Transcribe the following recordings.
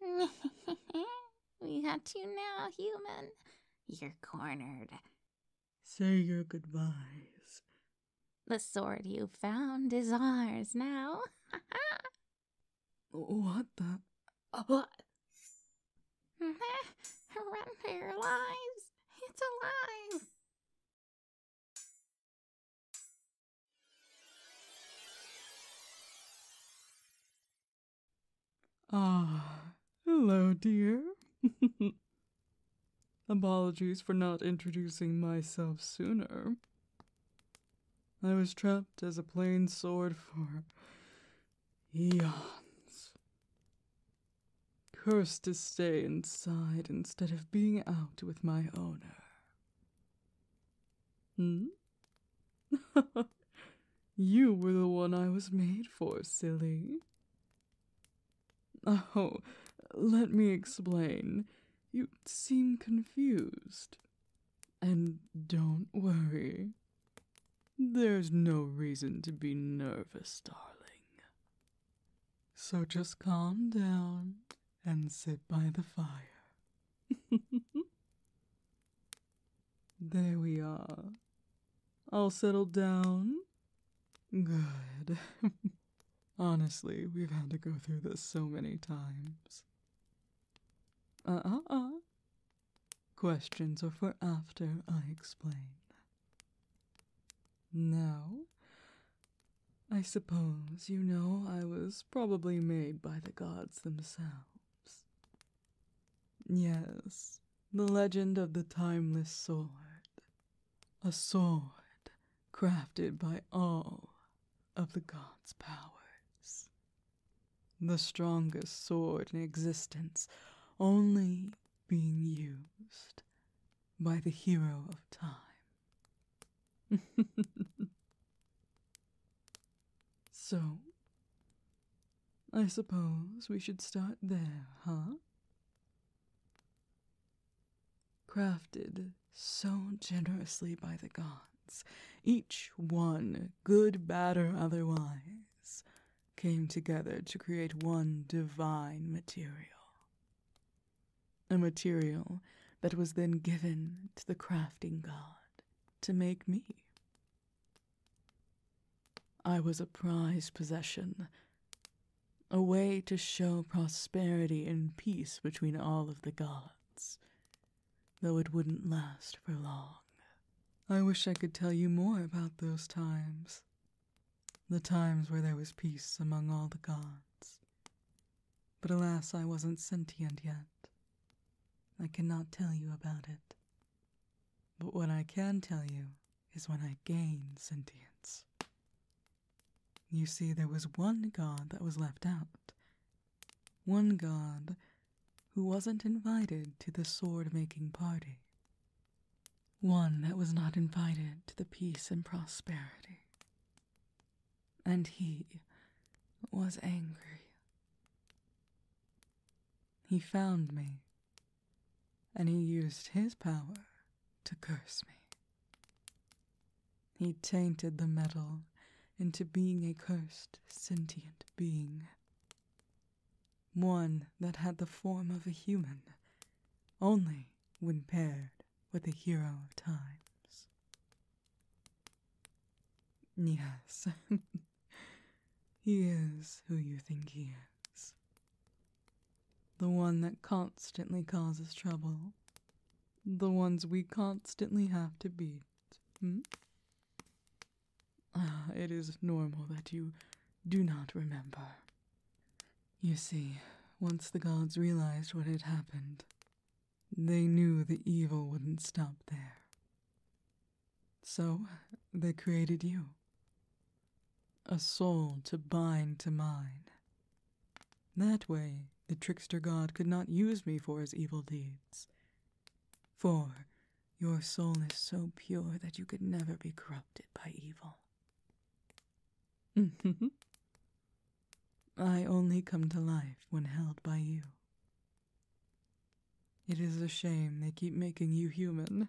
we got you now, human. You're cornered. Say your goodbyes. The sword you found is ours now. what the? What? Run for your lives. It's alive. Ah, hello, dear. Apologies for not introducing myself sooner. I was trapped as a plain sword for eons. Cursed to stay inside instead of being out with my owner. Hmm? you were the one I was made for, silly. Oh, let me explain. You seem confused. And don't worry. There's no reason to be nervous, darling. So just calm down and sit by the fire. there we are. All settled down? Good. Honestly, we've had to go through this so many times. Uh uh uh. Questions are for after I explain. Now, I suppose you know I was probably made by the gods themselves. Yes, the legend of the timeless sword. A sword crafted by all of the gods' powers. The strongest sword in existence, only being used by the hero of time. so, I suppose we should start there, huh? Crafted so generously by the gods, each one, good, bad, or otherwise, came together to create one divine material. A material that was then given to the crafting god to make me. I was a prized possession, a way to show prosperity and peace between all of the gods, though it wouldn't last for long. I wish I could tell you more about those times, the times where there was peace among all the gods, but alas, I wasn't sentient yet. I cannot tell you about it. But what I can tell you is when I gain sentience. You see, there was one god that was left out. One god who wasn't invited to the sword making party. One that was not invited to the peace and prosperity and he was angry. He found me, and he used his power to curse me. He tainted the metal into being a cursed, sentient being. One that had the form of a human, only when paired with a hero of times. Yes, he is who you think he is. The one that constantly causes trouble. The ones we constantly have to beat. Hmm? Ah, it is normal that you do not remember. You see, once the gods realized what had happened, they knew the evil wouldn't stop there. So they created you. A soul to bind to mine. That way, the trickster god could not use me for his evil deeds. For your soul is so pure that you could never be corrupted by evil. I only come to life when held by you. It is a shame they keep making you human.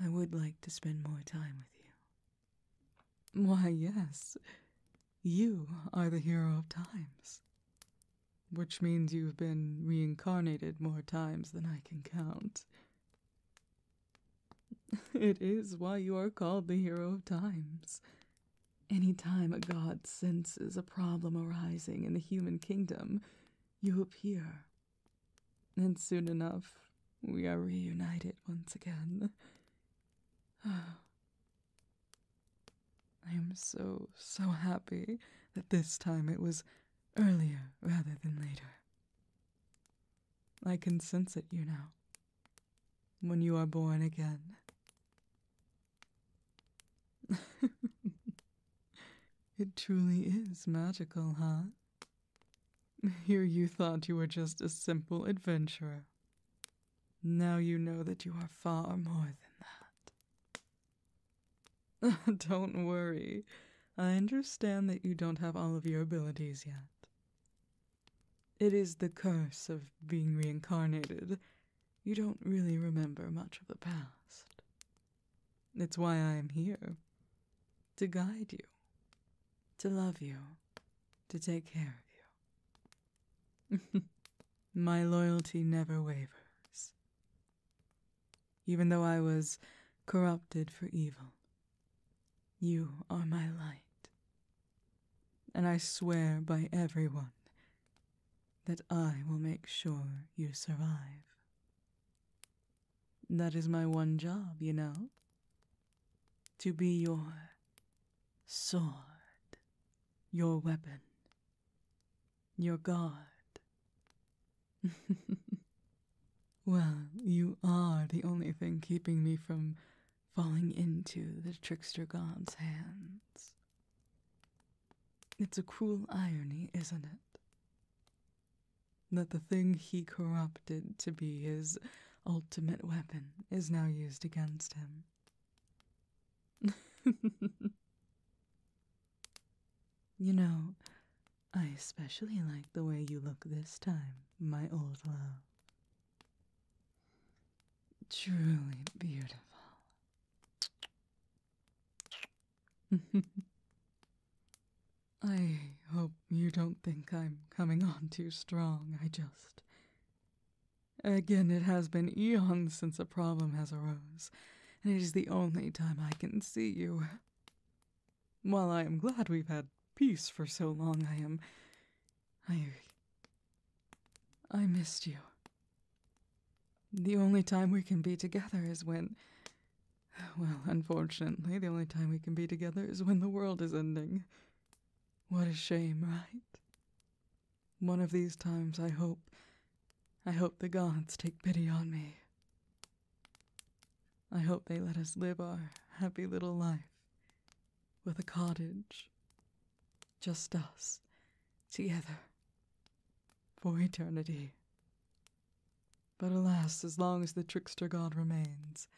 I would like to spend more time with you. Why, yes, you are the hero of times. Which means you've been reincarnated more times than I can count. It is why you are called the hero of times. Any time a god senses a problem arising in the human kingdom, you appear. And soon enough, we are reunited once again. I am so, so happy that this time it was earlier rather than later. I can sense it, you know, when you are born again. it truly is magical, huh? Here you thought you were just a simple adventurer. Now you know that you are far more than that. don't worry. I understand that you don't have all of your abilities yet. It is the curse of being reincarnated you don't really remember much of the past. It's why I am here to guide you, to love you, to take care of you. My loyalty never wavers. Even though I was corrupted for evil, you are my light. And I swear by everyone that I will make sure you survive. That is my one job, you know. To be your sword, your weapon, your guard. well, you are the only thing keeping me from falling into the trickster god's hands. It's a cruel irony, isn't it? That the thing he corrupted to be his ultimate weapon is now used against him. you know, I especially like the way you look this time, my old love. Truly beautiful. I hope you don't think I'm coming on too strong. I just. Again, it has been eons since a problem has arose, and it is the only time I can see you. While I am glad we've had peace for so long, I am. I I missed you. The only time we can be together is when. Well, unfortunately, the only time we can be together is when the world is ending. What a shame, right? One of these times, I hope. I hope the gods take pity on me. I hope they let us live our happy little life with a cottage. Just us, together, for eternity. But alas, as long as the trickster god remains,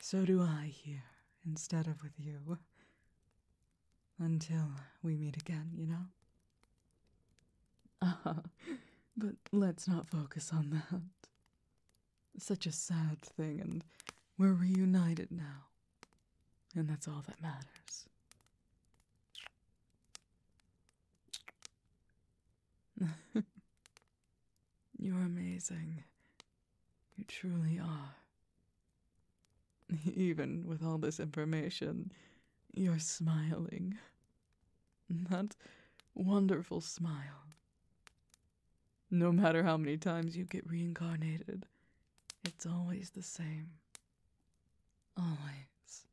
so do I here instead of with you. Until we meet again, you know? Ah, but let's not focus on that. Such a sad thing, and we're reunited now, and that's all that matters. You're amazing. You truly are. Even with all this information, you're smiling. That wonderful smile. No matter how many times you get reincarnated, it's always the same. Always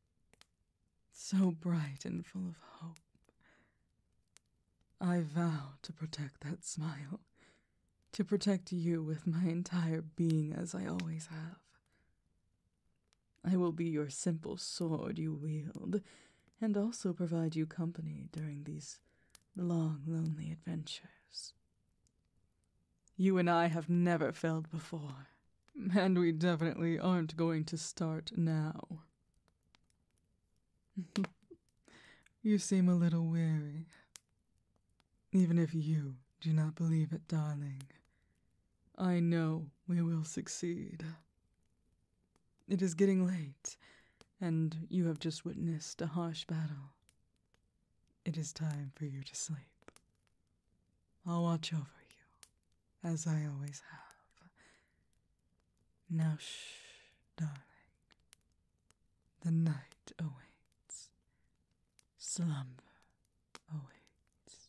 so bright and full of hope. I vow to protect that smile, to protect you with my entire being as I always have. I will be your simple sword you wield, and also provide you company during these long, lonely adventures. You and I have never failed before, and we definitely aren't going to start now. you seem a little weary. Even if you do not believe it, darling, I know we will succeed. It is getting late, and you have just witnessed a harsh battle. It is time for you to sleep. I'll watch over you, as I always have. Now, shh, darling. The night awaits, slumber awaits.